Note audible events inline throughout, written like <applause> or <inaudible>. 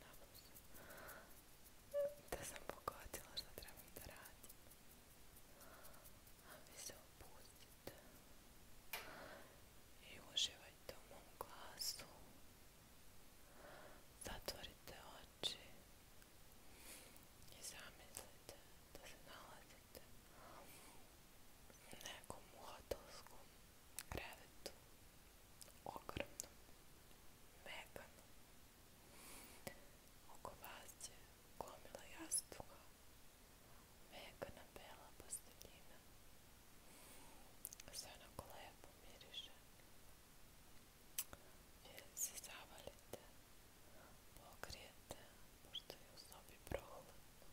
Nadam se da sam pogodila što trebam da radim. A vi se opustite i uživajte u mom glasu. Zatvorite oči i zamislite da se nalazite Nekomu hotelskom krevetu, ogromnom, meganom. Oko vas je gomila jastuka, mekana bela posteljina. Sve onako lepo miriše. Vi se zavalite, pokrijete, pošto je u sobi prohladno.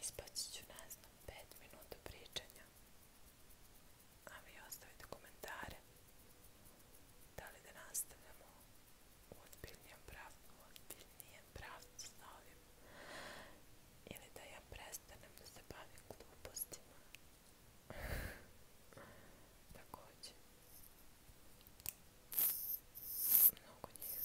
Ispaći ću, nas 5 minuta pričanja. A vi ostavite komentare. Da li da nastavljamo u ozbiljnijem pravcu, u pravcu ovim. Ili da ja prestanem da se bavim glupostima. <laughs> Također. Mnogo njih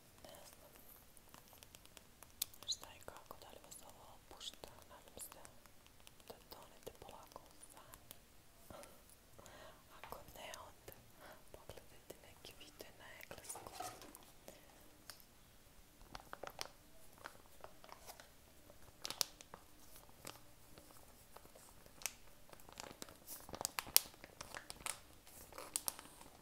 ne znam šta i kako, da li vas ovo opušta, nadam se da tonete polako u san. Ako ne, onda pogledajte neki video na engleskom.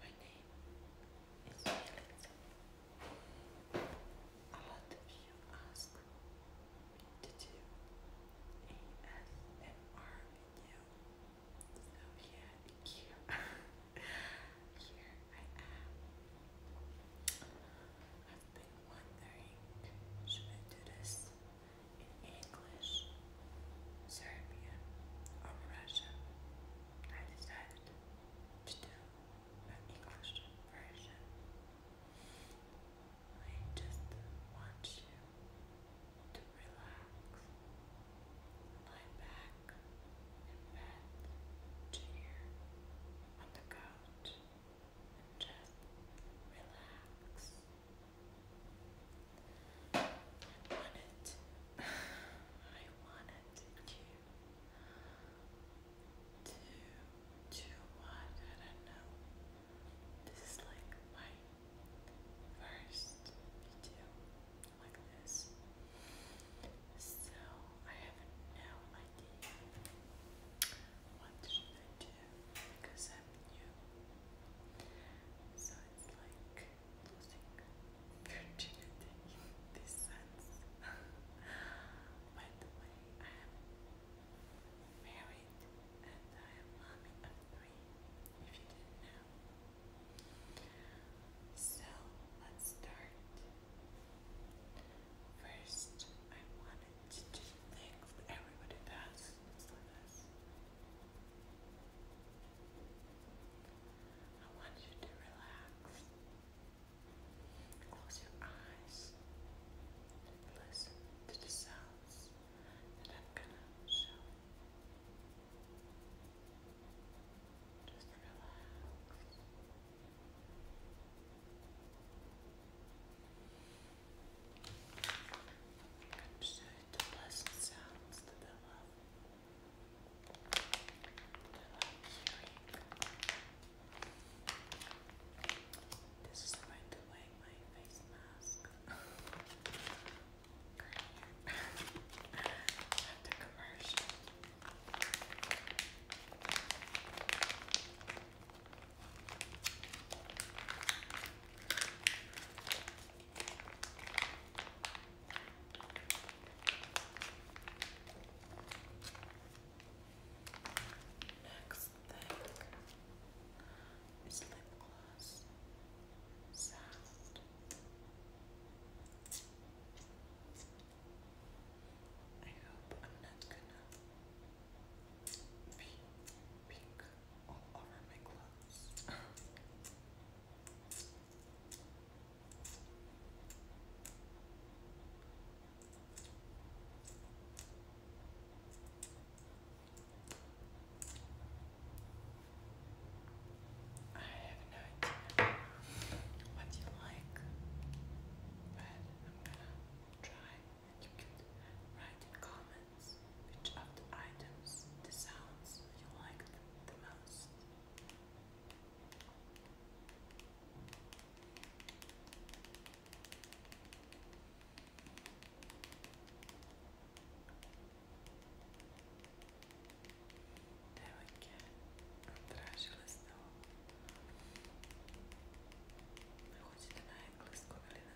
My name is Melissa. A lot of you ask me to do ASMR video. So here, here I am. I've been wondering, should I do this? in English, Serbia, or Russia, I decided to do an English version. I just want you to relax, lie back in bed, chair, on the couch, and just relax want it. I wanted you to I don't know. This is like my first video like this. So I have no idea what should do because you? So it's like losing virginity in this sense. By I am married and I am mommy of three, if you didn't know. So let's start. First, I wanted to just thank everybody that asked this. I want you to relax. Close your eyes listen to the sounds that I'm gonna show you. Just relax comme şöyle dolaşım sounds that I love. I love hearing. This is by the way my face mask. <laughs> commercial. Next thing is lip gloss I hope I'm not gonna be all I have no idea what you like, but I'm gonna try. You could write in comments which of the items, the sounds you liked the most. There we go. Odrážili z toho. Chodíte na anglickou, ale na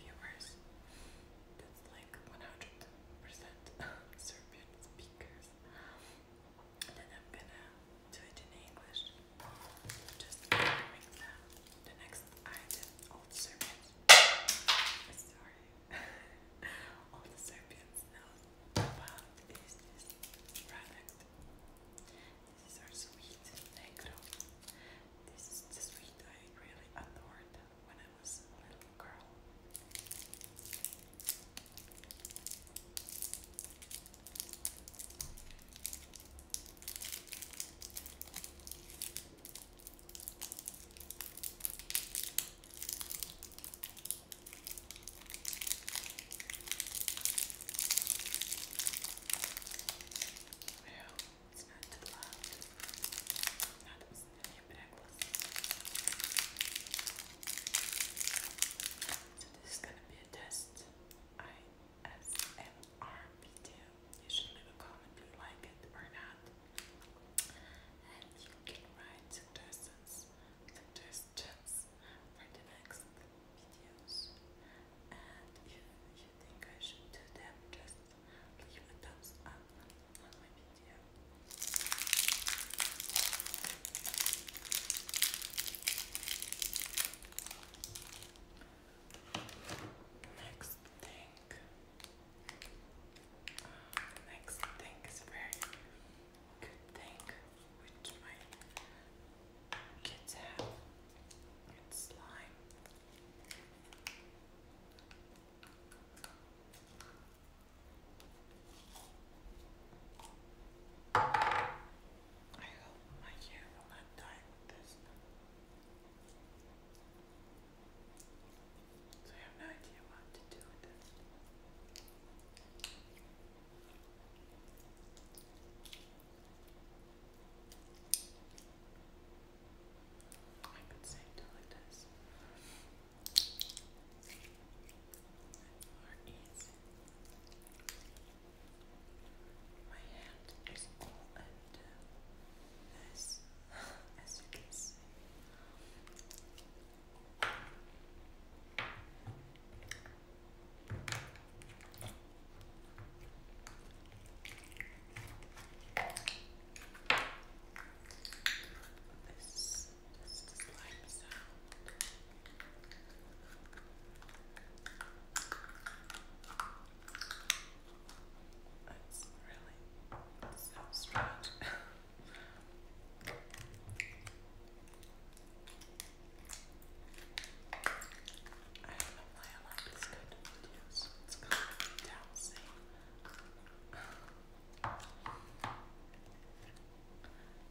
viewers. That's like 100% <laughs> Serbian speakers. Then I'm gonna do it in English. Just doing the, the next item. All Serbians. Sorry. <laughs> All the Serbians know about this, product. This is our sweet negro. This is the sweet I really adored I was a little girl. Yeah. It's So this is gonna be a test. ISMR video. You should leave a comment if you like it or not. And you can write suggestions, suggestions for the next videos. And if you think I should do them, just leave a Next thing, next thing is very good thing which my kids have. It's slime. I hope my hair will not die with this. So I have no idea what to do with this. I I've been saying till my hand is all as you can see. This is the slime sound. That's really so strange. <laughs> I don't know why I like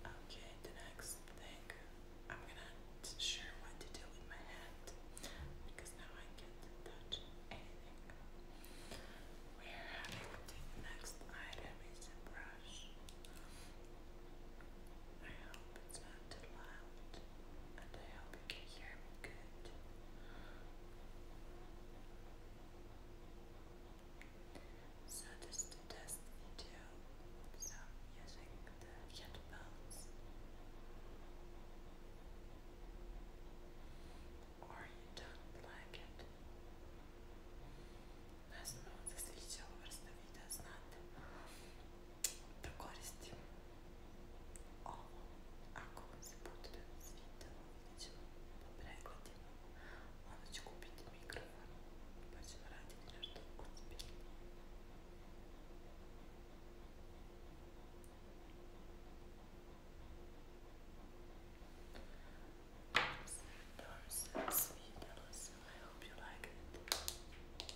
Okay, the next thing I'm gonna sure what to do with my hand because now I can touch anything. We're having the next item is a brush. I hope it's not and I hope you hear me good. So this is the test video, so using the headphones. Or you don't like it. Возможно, засветил, просто видео знает. Porque agora esse tipo a coisa portuguesa então prego Onda ću kupiti mikrofon pa ćemo raditi nešto ozbiljno. That was sweet. you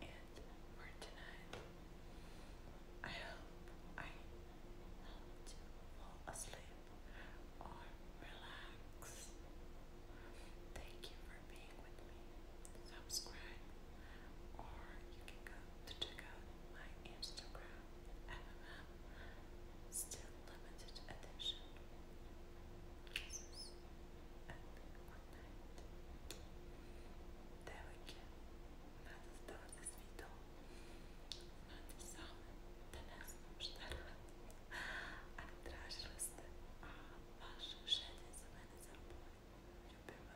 it for tonight. I hope I helped fall asleep or relax. Thank you for being with me. Subscribe, or you can go to check out my Instagram, MMM, still limited edition. Kisses and девики, надо здавати світом, надо саме до нас обштарати, а траж росте, а ваше життя за мене забули, любимо.